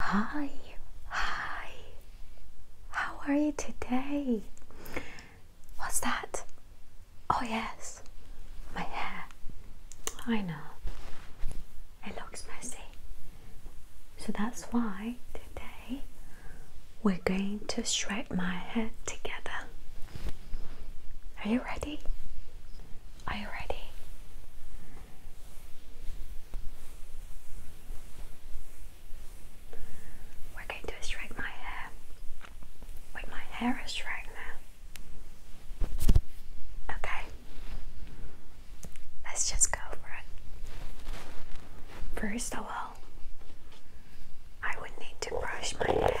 Hi, hi, how are you today? What's that? Oh, yes, my hair. I know it looks messy, so that's why today we're going to shred my hair together. Are you ready? Are you ready? We're going to straighten my hair. Wait, my hair is straightener. Okay. Let's just go for it. First of all, I would need to brush my hair.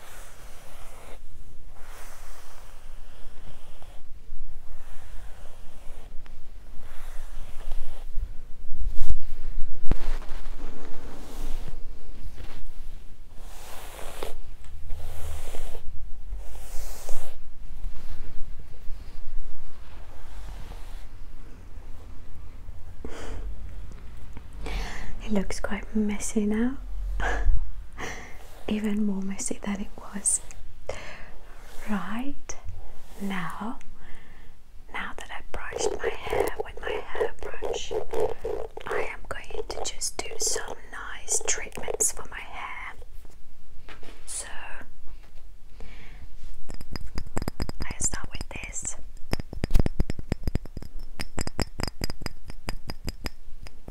It looks quite messy now. even more messy than it was. Right now, now that I brushed my hair with my hairbrush, I am going to just do some nice treatments for my hair. So I start with this.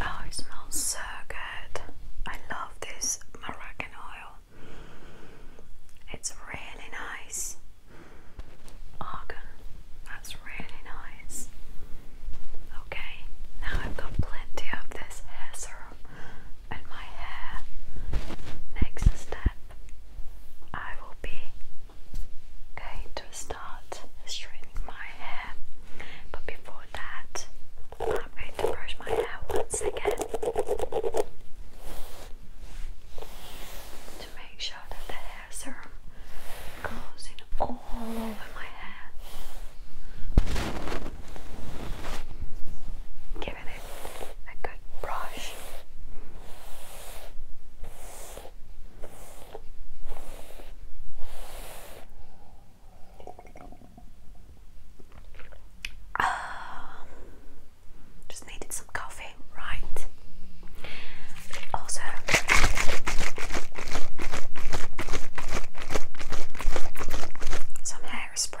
Oh, it smells so good. I love this Moroccan oil. It's really nice. Argan, that's really nice. Okay, now I've got plenty of this hair serum in my hair. Next step I will be going to start straightening my hair, but before that, I'm going to brush my hair once again to make sure that the hair serum goes in all over my hair. Give it a good brush. Um, just needed some coffee, right? Also, some hairspray.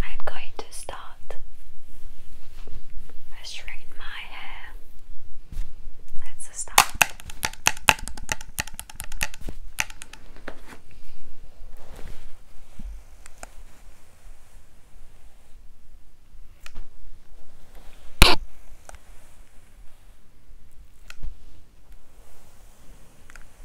I'm going to start by straightening my hair. Let's start.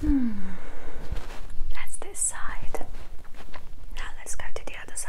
Hmm. That's this side. Now let's go to the other side.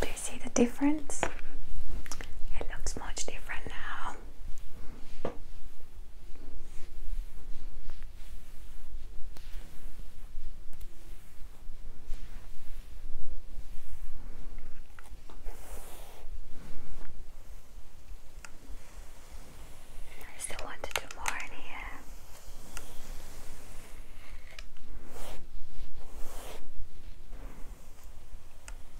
Do you see the difference? It looks much different now. I still want to more in here.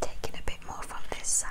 Taking a bit more from this side.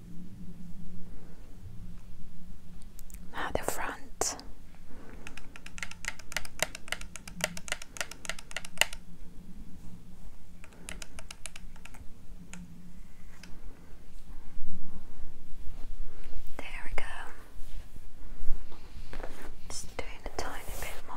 Now the front. There we go. Just doing a tiny bit more.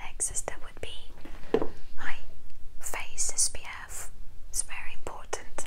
Next is that would be my face SPF. It's very important.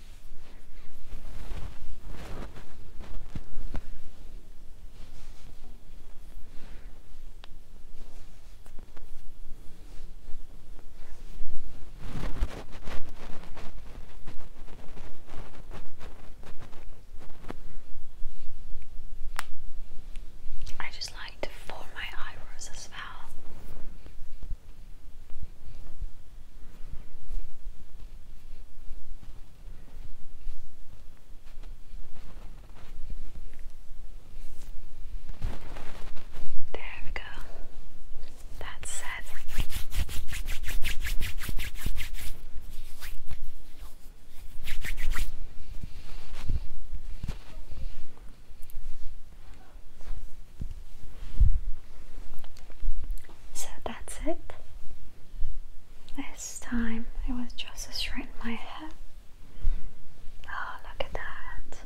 I just like to form my eyebrows as well. There we go. That's set. So that's it. This time it was just a straighten my hair. Oh, look at that.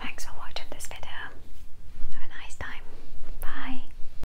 Thanks for watching this video. Have a nice time. Bye.